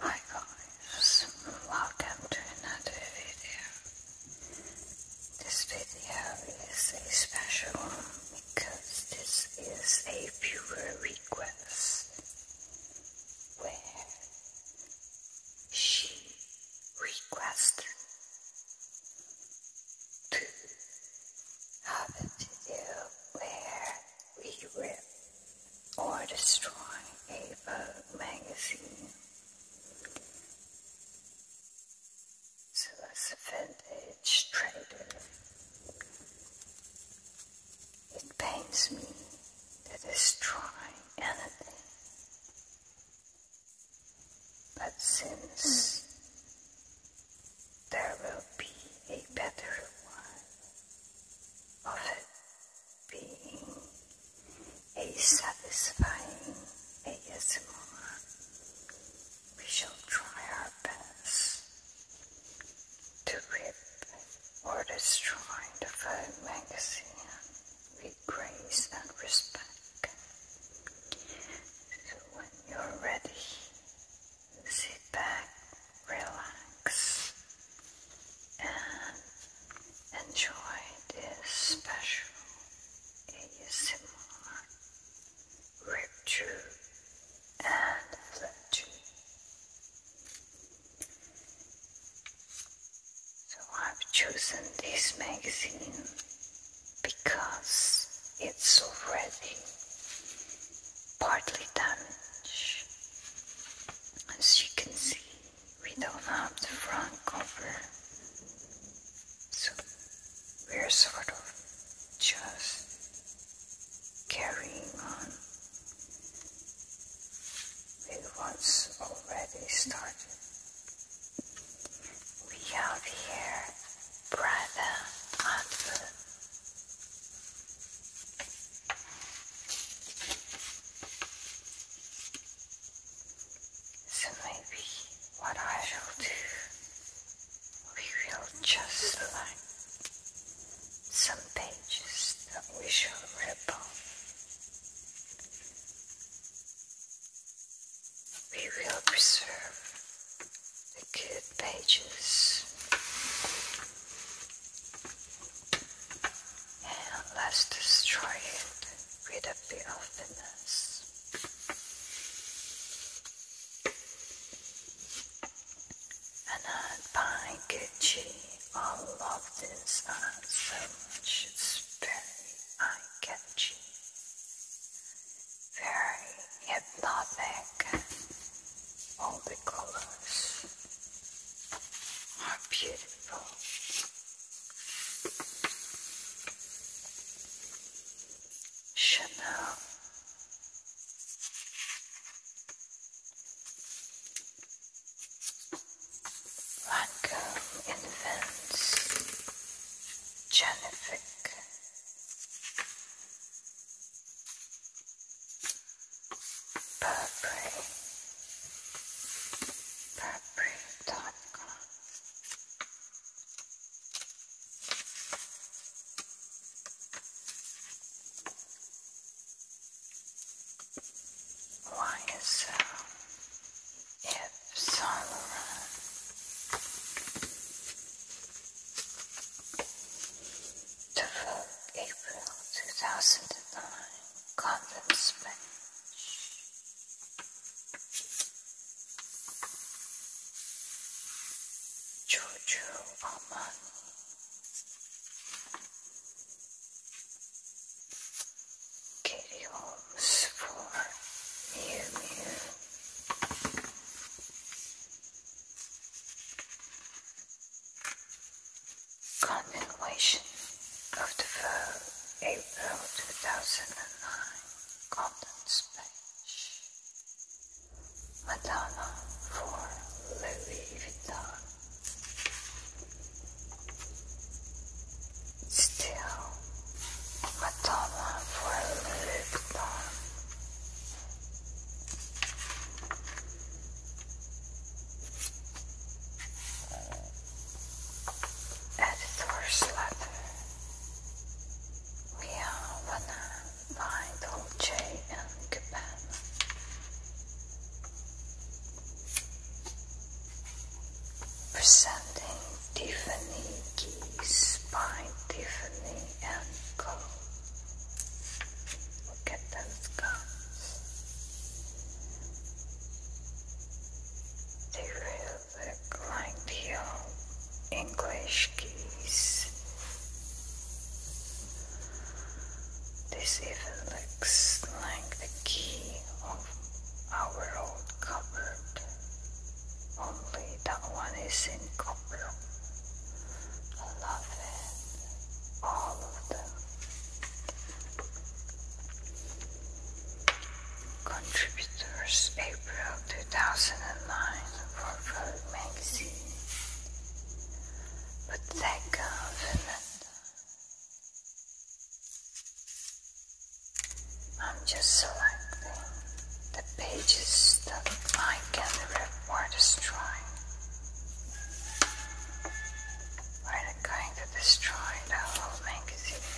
Hi guys, welcome to another video. This video is a special because this is a viewer request where she requested to have a video rewrite or destroy a magazine. So as vintage trader, it pains me to destroy anything. But since hmm. there will be a better one, of it being a satisfying ASMR. We shall try our best to rip or destroy the Vogue magazine with grace and respect. So when you're ready, sit back, relax, and enjoy this special ASMR ritual and legend. So I've chosen this magazine because it's already partly damaged. As you can see, we don't have the front cover, so we're sort of just carrying on with what's already started. We have here brother advert so maybe what I will do, we will just line some pages that we shall rip off. We will preserve the good pages and let's destroy it with a bit of finesse. And I buy Gucci. I love this so much. It's very eye Very hypnotic. All the colors are beautiful. Chanel. Lancome Invents. Jennifer. Burberry, Burberry.com. Why is so? If to vote April 2009 Conference Bench. Giorgio Armani. Katie Holmes for Mew Mew. Continuation of the 4th April 2009 contents page. Madonna for Louis Vuitton. Still, Madonna for Louis Vuitton. Edit uh, horse We are one uh, by Dolce and Gabbana. Presenting Tiffany keys by Tiffany and Co. Look at those guns. They really look like the English keys. This even looks like the key of our old cupboard. Only that one is in copper. I love it all of the contributors, April 2009 for Vogue magazine, but that confident. I'm just selecting the pages that I can reward a strike. We're going to destroy the whole magazine.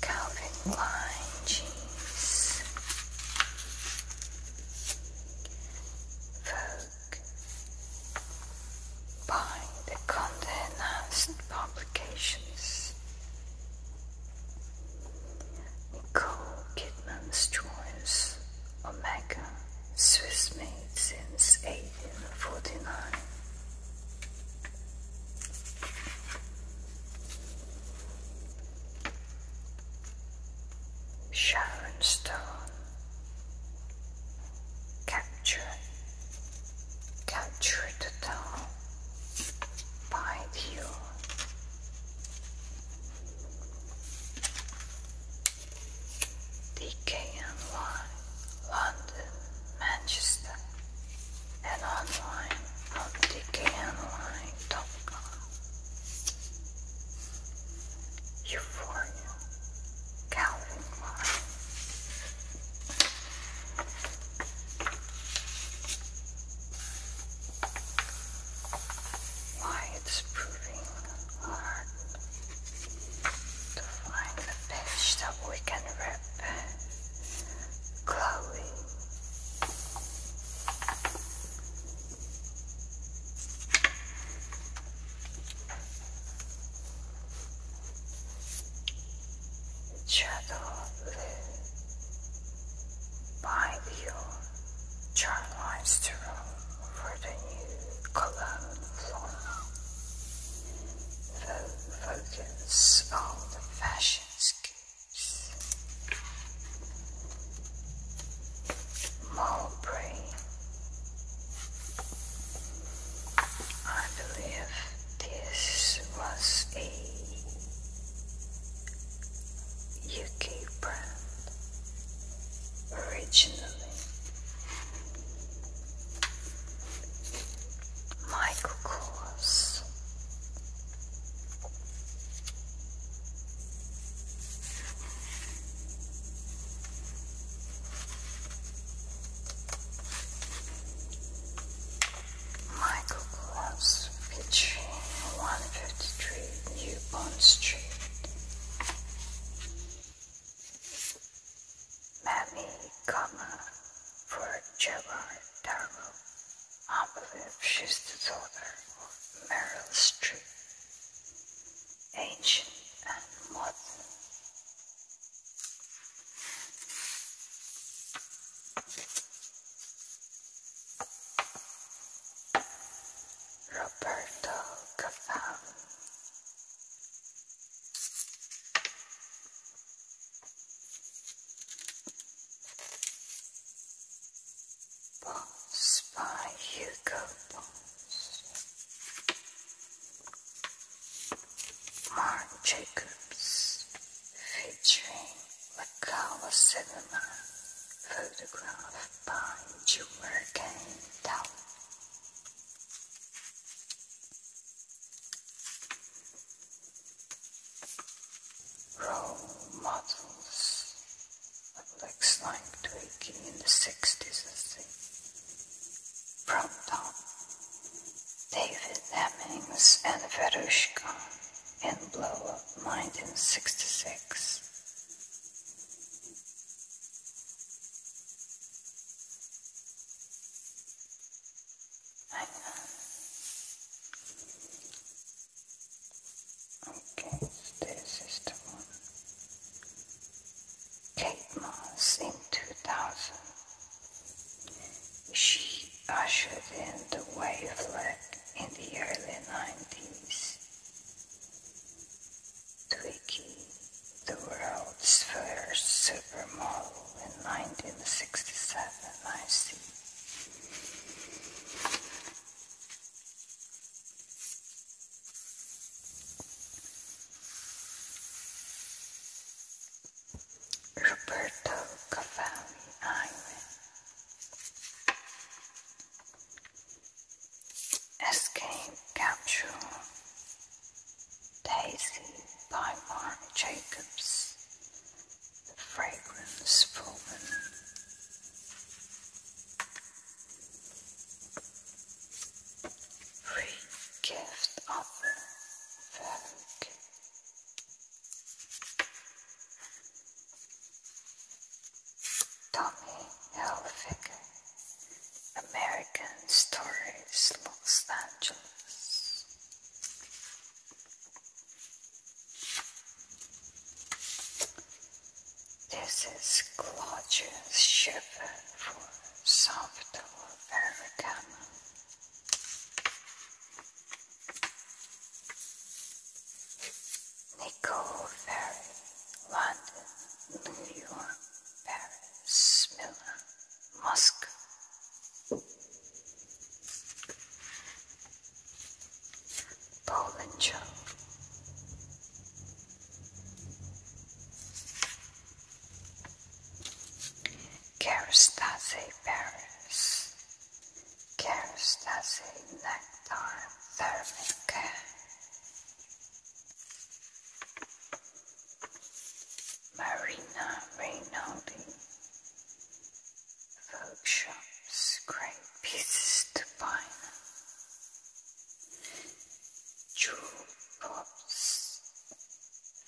Calvin Klein jeans. Vogue. Buying the Condé publications. Nicole Kidman's Choice, Omega, Swiss made since 1849. Sharon Stone, Capture, Capture the Town, By You. DKNY London, Manchester, and online on DKNY.com. Euphoria, Calvin Klein why it's proving hard to find the page that we can rip Chloe. Shadow by your chart for the new column flora. Focus on the fashion schemes. Mulberry. I believe this was a UK brand originally. Michael Kors. Michael Gloves featuring 153 New Bond Street. Mammy Gama for Jabar Darrow. I believe of Meryl Streep. Ancient and modern. Roberto Cafam. by Hugo Bones. Mark Jacobs featuring the color cinema photographed by Jurgen Dahl. Role models. It like Twiggy in the 60s, From Tom, David Hemmings and Verushka and blow up 1966. Hang on. Okay, this is the one. Kate Moss in 2000. She ushered in the wavelet in the early 90s. Twiggy, the world's first supermodel in 1967, I see. Roberto Cavalli Island Escape Capsule Daisy by Mark Jacobs The Fragrance Proven Free Gift Offer Vogue Tommy Hilfiger American Stories Los Angeles This is Claudius Schiffer for Soft Americana Nicole Ferry, London, New York, Paris, Milan, Moscow. Poland Joe. Kerastase Paris, Kerastase nectar thermic. Marina Rinaldi. Folk great pieces to buy. Jewel pops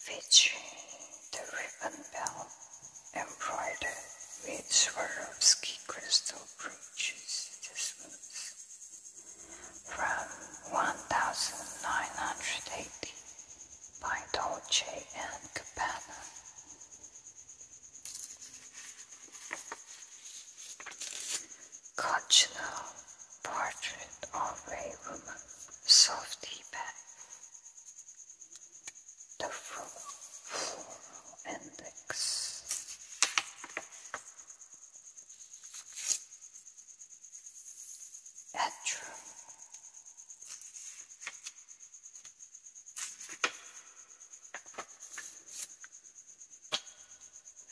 featuring the ribbon bell embroidered with Swarovski crystal brooches this month from 1980 by Dolce and Gabbana. Cochinelle portrait of a woman, soft bag the floral index. Atro.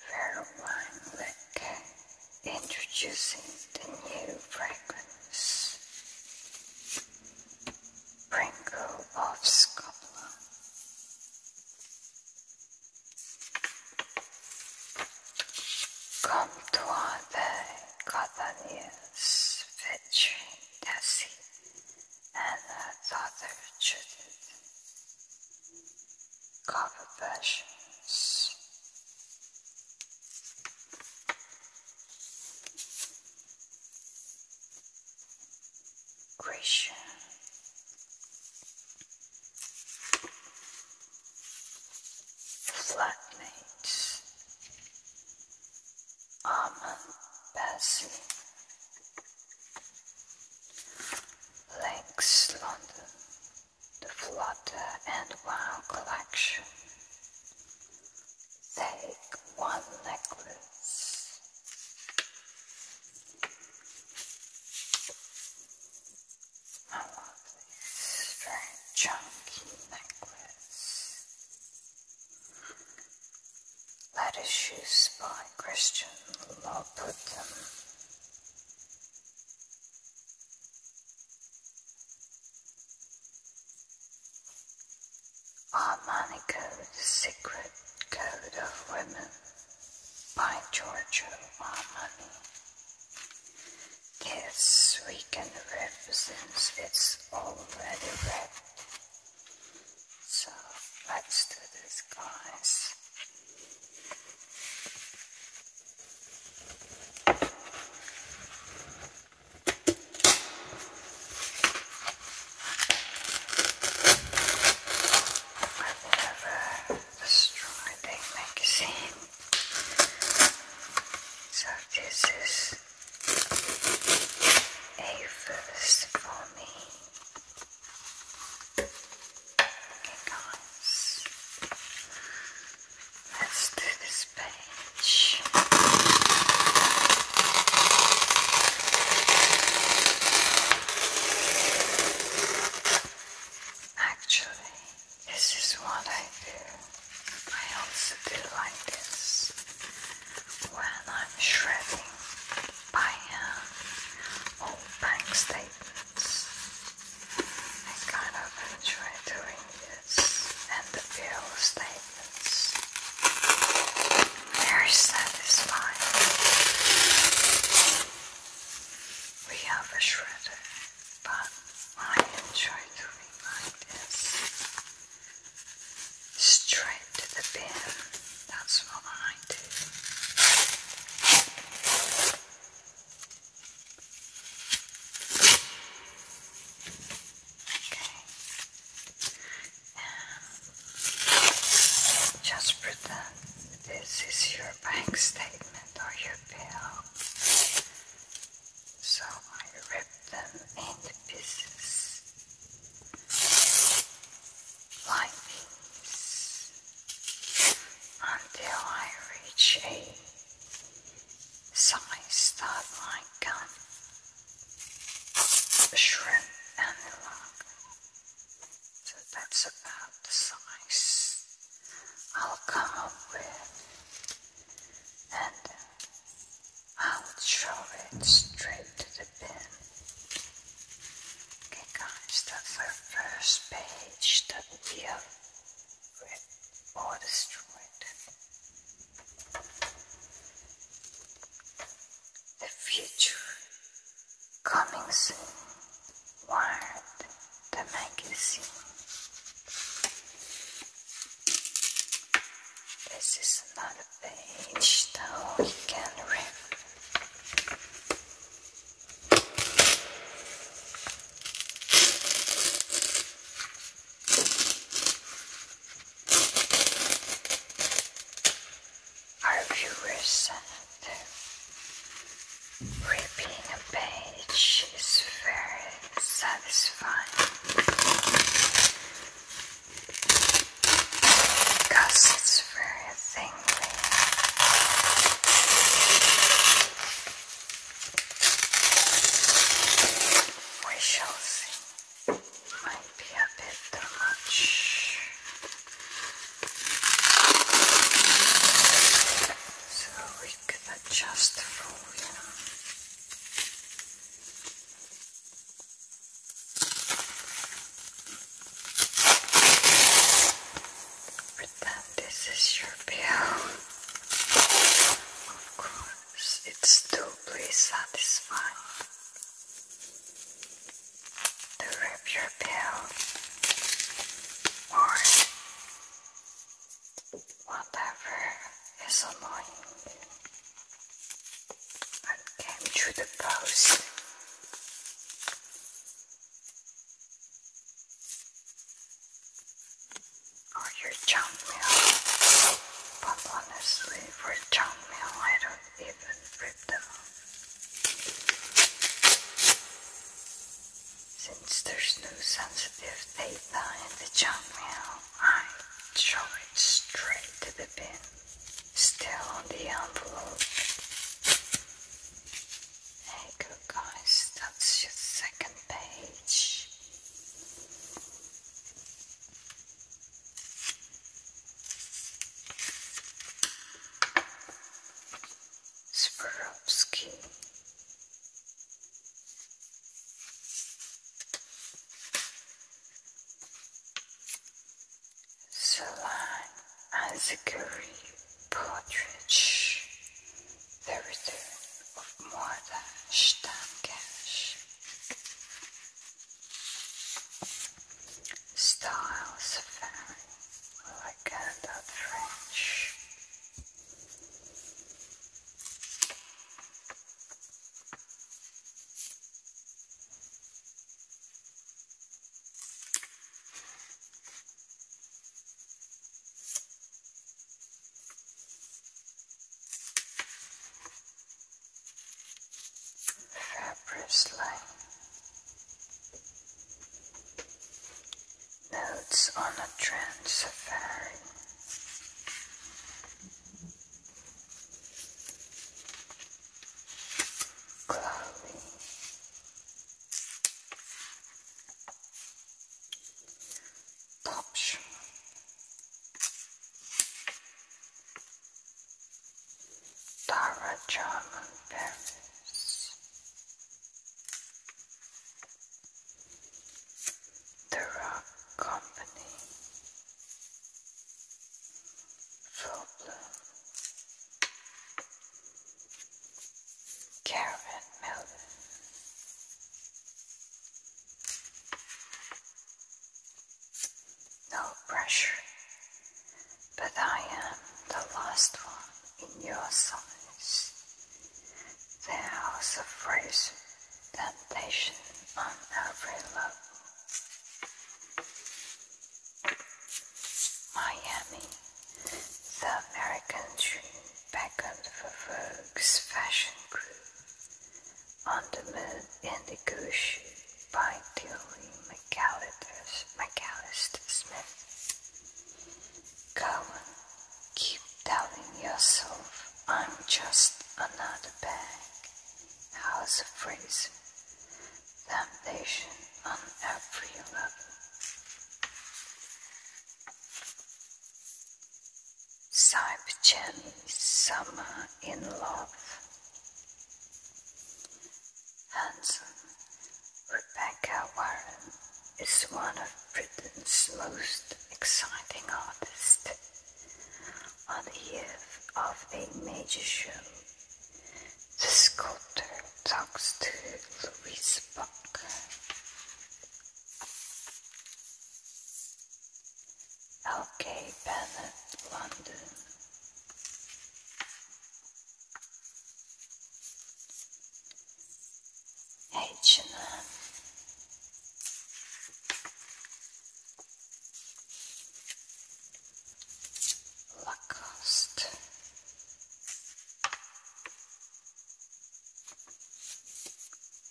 Pheromone liquor introducing the new fragrance. Pringle of Scotland. Come to our day, Catania's veteran Nessie and her daughter Cover versions. Christian. Flatmates. Armand Bassey. Lakes London. The Flutter and Wow collection take one necklace. I love these straight chunky necklace. Lettuce Shoes by Christian Loputin. Armani Secret Code of Women by Giorgio Armani. This weekend represents it's already red. So let's do this, guys. I've never destroyed a magazine, so this is a first for me. guys. Let's do this page. Actually, this is what I do. I also do like this when I'm shredding by hand bank statements. I kind of enjoy doing this and the feel statements. Very satisfying. We have a shredder, but I enjoy doing like this. Straight to the bin. That's what I do. Um, just pretend this is your bank statement or your bill. So I rip them into pieces like until I reach a size that I um, shrimp and lung. So that's about the size I'll come up with and uh, I'll show it straight to the bin. Okay guys, that's our first page that we have ripped or destroyed. The future coming soon. Word the magazine. This is another page that we can read. Our viewers said ripping a page is very satisfying because it's very thinly. We shall see. Might be a bit too much. So we could adjust the volume. Pretend this is your bill. Of course it's doubly satisfying to rip your pill or whatever is annoying and came through the post or oh, your chainmail. But honestly, for chainmail, I don't even rip them Since there's no sensitive data in the junk mail, I throw it straight to the bin. Still on the envelope. Hey, guys, that's your second page. Swarovski. Salon Azaguri Portrait there is return of more than Stammcash. Style Safari, like Canada French. Fibrous Notes on a trans safari. Cloudy. Dobrze. Tara German The Rock Company. Problem. Karen Miller. No pressure, but I am the last one in your size. There a phrase, temptation on every level. Miami, the American dream beckoned for Vogue's fashion crew on the in the Gush by Tilly McAllister Smith. Cohen, keep telling yourself I'm just another bag. How's of Reason. Damnation on every level. Saipchen Summer in Love. Handsome Rebecca Warren is one of Britain's most exciting artists. On the eve of a major show, the sculptor talks to Louise Buck L.K. Bennett, London. h and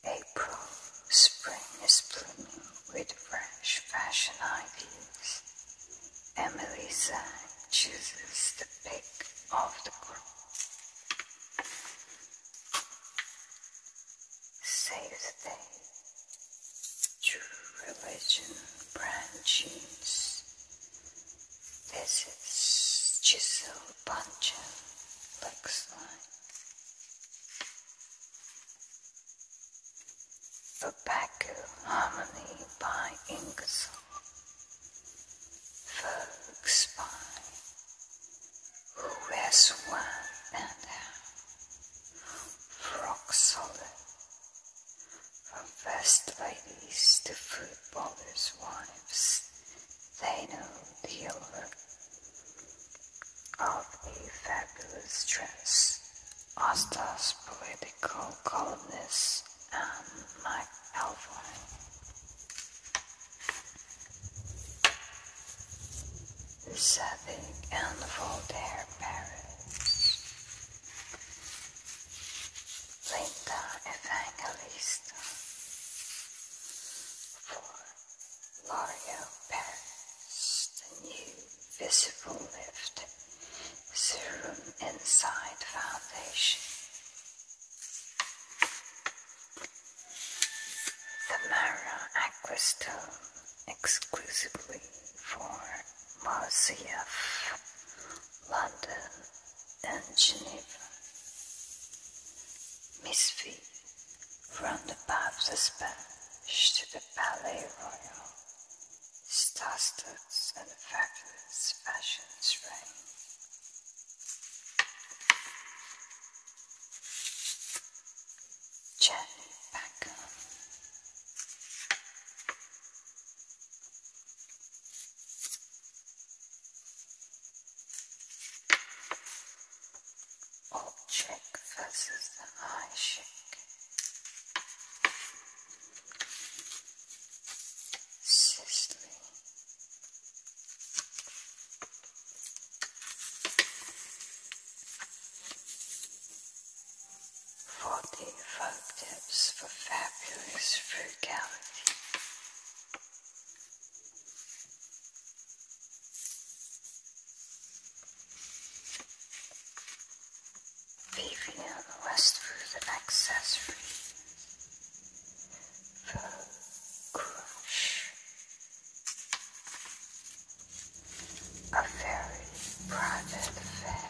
April, spring is blooming with fresh fashion ideas. Emily Zhang chooses the pick of the crop. Save the day. True religion brand This is Giselle punch it looks like. The Baku Harmony by Ingersoll. Folk spy who wears one and half rock solid from first ladies to footballers' wives they Zeno, the owner of the fabulous dress, Osta's political columnist, and Mike Alvine, Setting and Voltaire parents, Linda Evangelista for Mario passed a new visible lift, serum inside foundation. The Mara Aquastone exclusively for Marcia London and Geneva. Miss V, from the Baptist bench to the Ballet Royal, star-studded and fabulous fashions reign. Jenny Beckham. Old versus the high chick. Sicily. Forty folk for fabulous frugality. Leaving on the the accessory for crush. A very private affair.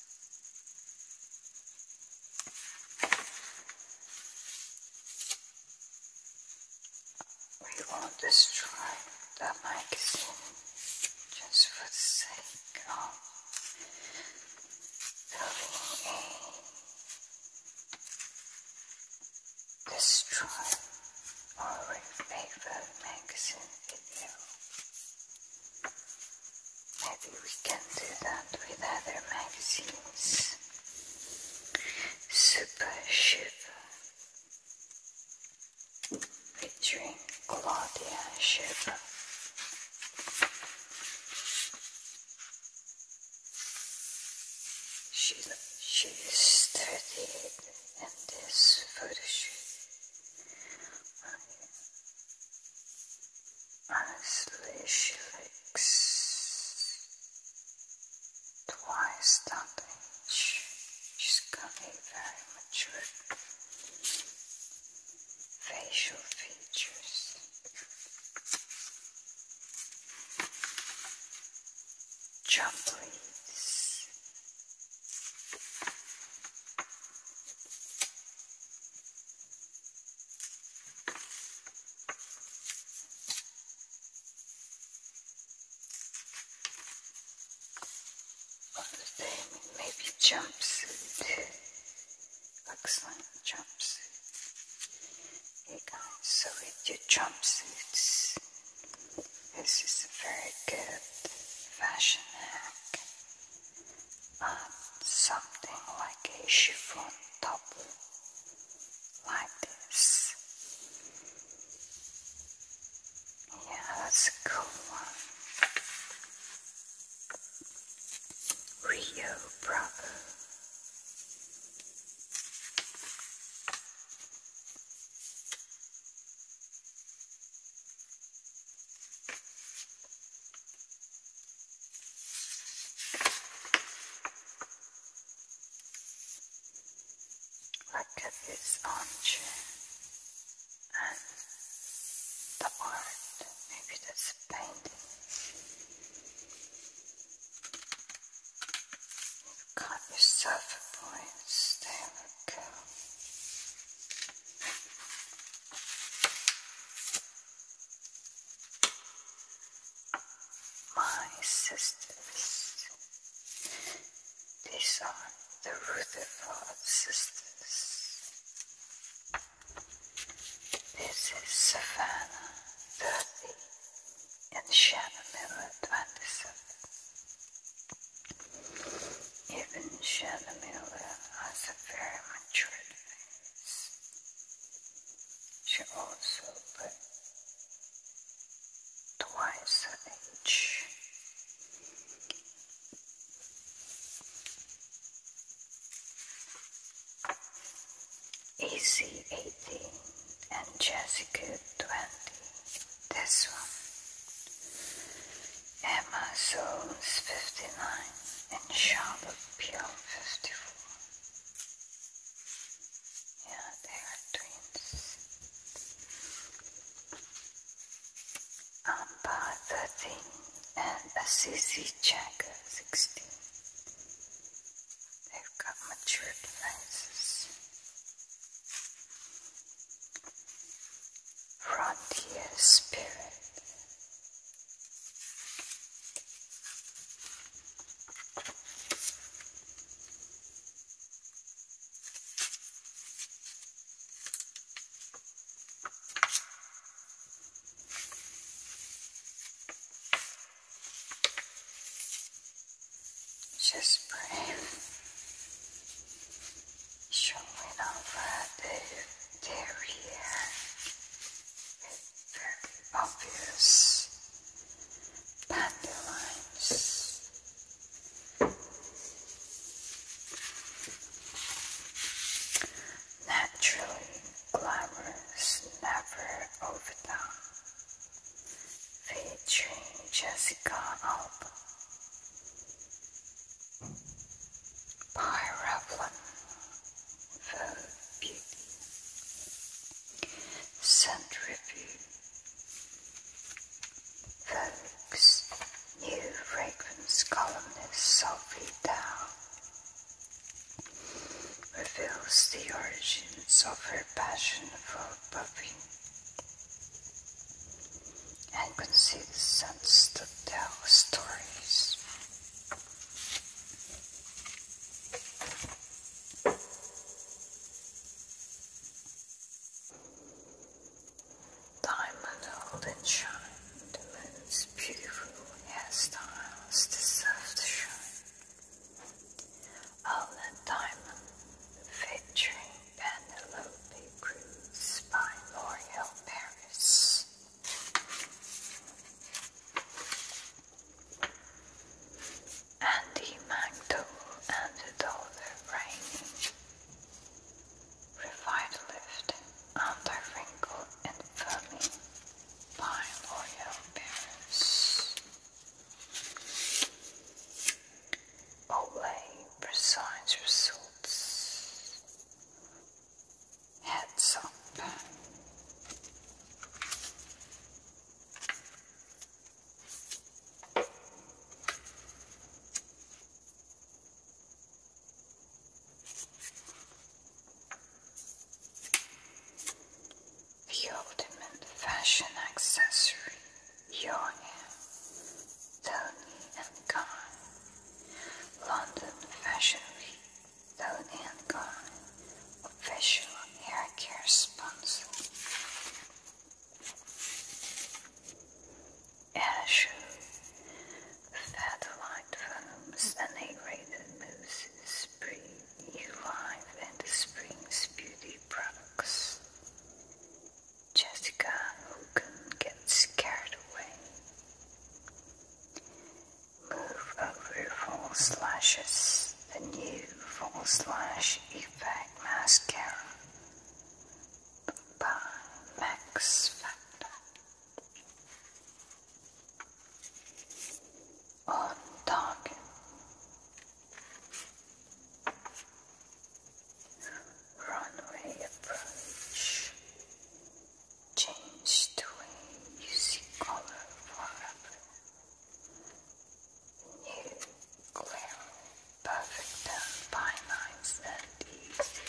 We won't destroy the magazine just for the sake of building a destroy or repaper magazine video. Maybe we can do that with other magazines. Super Shiva featuring Claudia Shiva. She, she and this photo shoot. Honestly, she looks twice that She's got a very mature facial features. Jumblies maybe jumpsuit. Excellent jumpsuit. Hey guys, so with your jumpsuits, this is a very good fashion hack and something like a chiffon top like this. Yeah, that's a cool one. Rio Bravo. Look at this armchair and the art, maybe that's a painting. You've got yourself a point, there we go. My sisters, these are the Rutherford sisters. This is Savannah 30 and Shannon Miller 27. Even Shannon Miller has a very mature she also lived twice her age. AC 18 and Jessica 20. This one Emma Zones 59 and Charlotte Pure 54. Yeah, they are twins. Amber 13 and Assisi Jagger 16. They've got mature faces. Frontier Spirit just breathe showing over the derriere. It's very obvious. Dandelions. Naturally, glamorous, never overdone. Featuring Jessica Alba by Revlon Vogue Beauty Scent Review Vogue's new fragrance columnist Sophie Dow reveals the origins of her passion for perfume and could see the sons to tell stories. Diamond held and shine, the moon's beautiful hairstyles deserve to shine. All that diamond, featuring Penelope Cruz by L'Oreal Paris and the mantle and the dollar rain revive lift wrinkle and firmly pine oil bearers Olay precise results heads up. The ultimate fashion accessory, your hair, Tony and Guy. London Fashion Week, Dallin & official hair sponsor. Asher, satellite foams and A-rated mousses, spring new life and the spring's beauty products. Jessica who can get scared away. Move over full slashes, the new full slash effect mascara by Max Factor. On target runway approach. Change the way music color forever. New, clear, perfect, and finite and easy.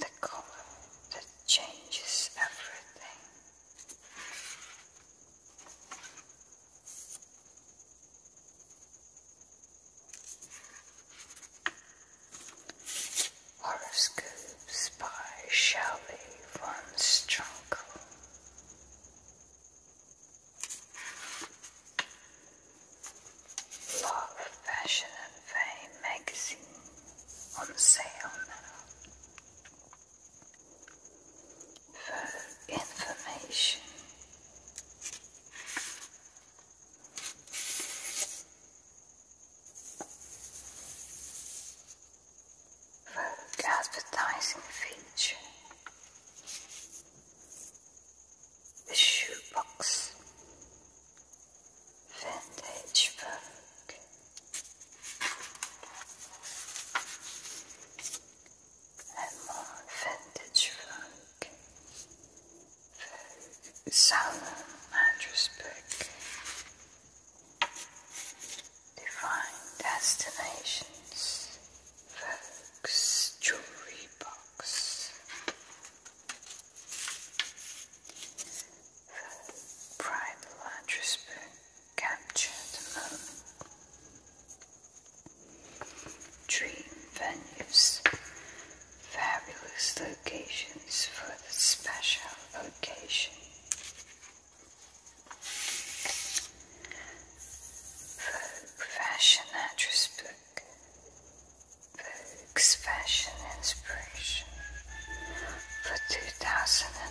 The color that changes everything. Horoscopes by Shelley von Strunkel. Love, Fashion and Fame magazine on sale now. For information Vogue feature. The shoebox. Vintage Vogue and more vintage funk, solemn and respect, divine destinations, folks, jewelry box, pride and respect, capture the dream venues, fabulous locations for the special occasion. Vogue Fashion Address Book, Vogue's Fashion Inspiration for 2009.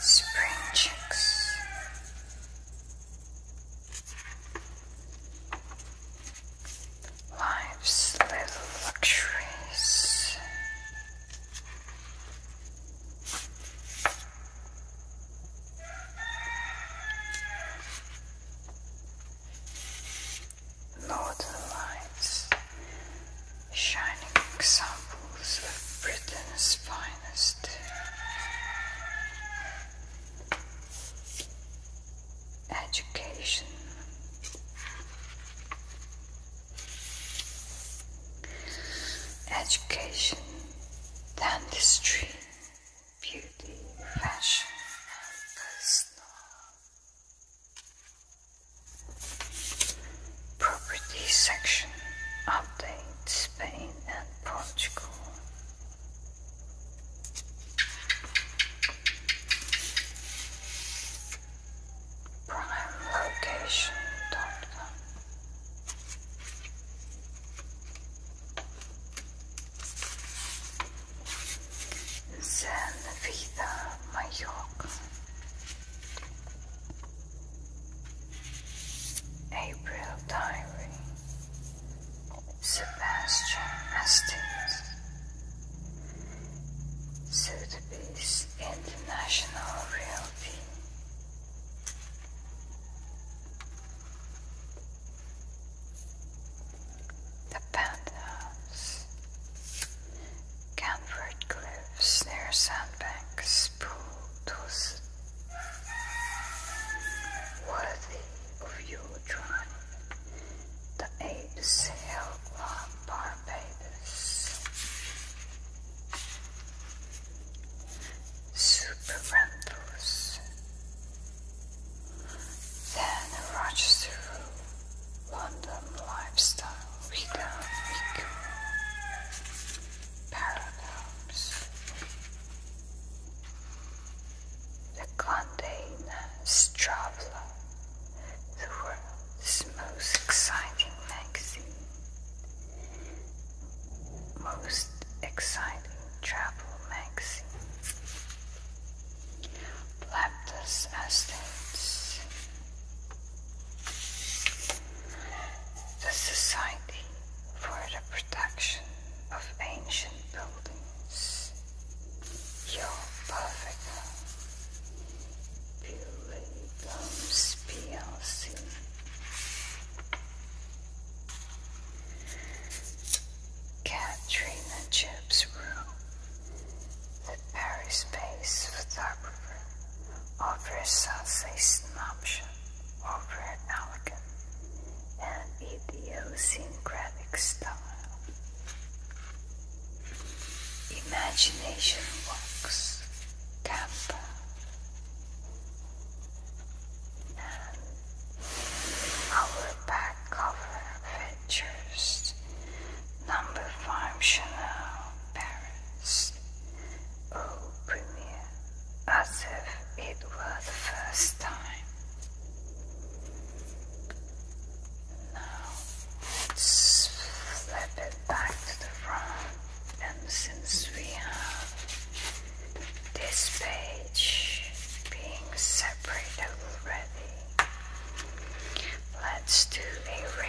Spring chicks. Life's little luxuries. Northern lights shining examples of Britain's finest. Education. Education, dentistry, beauty, fashion, and personal Property section update Spain and Portugal. Prime location. Zen Vida Mallorca. April Diary Sebastian Estes Sotheby's International Realty The Penthouse Canford cliffs near sandbanks, pool worthy of your The apes held Barbados. Super rentals. Then Rochester London lifestyle. Rita Miku Paradox The Condé Nast The world's most exciting magazine Most exciting travel magazine Laptas the Society for the Protection of Ancient Buildings. Your perfect Buildings PLC. Katrina Chips Room. Paris-based photographer offers Southeastern option over an elegant and idiosyncratic style. Imagination walks, Campa, our back cover features number five Chanel Paris oh premiere, as if it were the first time. Now flip it back to the front, and since we have this page being separated already, let's do a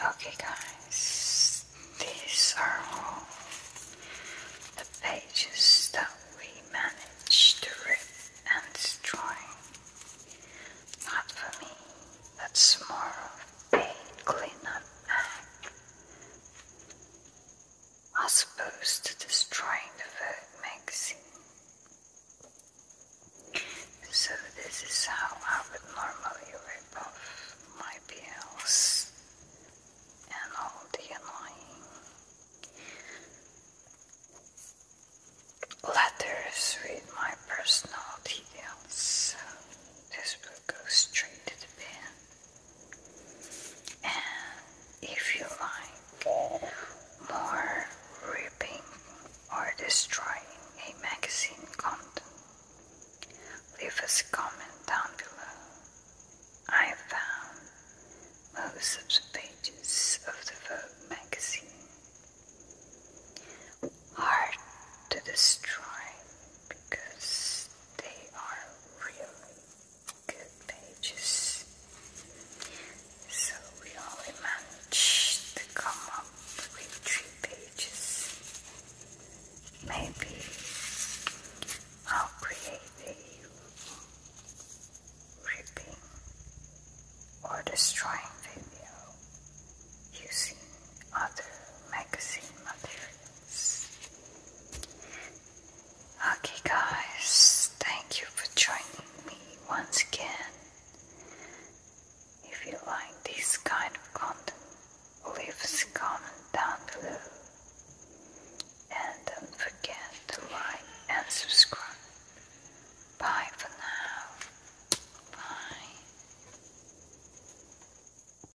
Okay guys, these are all the pages that we managed to rip and destroy. Not for me, that's more of a cleanup act I suppose to destroying the Vogue magazine. So this is how I would normally rip off my bills and all the annoying letters with my personal details. this will go straight to the bin. And if you like more ripping or destroying a magazine content, leave us a comment down below. I found most of the pages of the Vogue magazine hard to destroy because they are really good pages. So we only managed to come up with three pages. Maybe I'll create a ripping or destroying video using other magazine material. Okay, guys, thank you for joining me once again. If you like this kind of content, leave a comment down below. And don't forget to like and subscribe. Bye for now. Bye.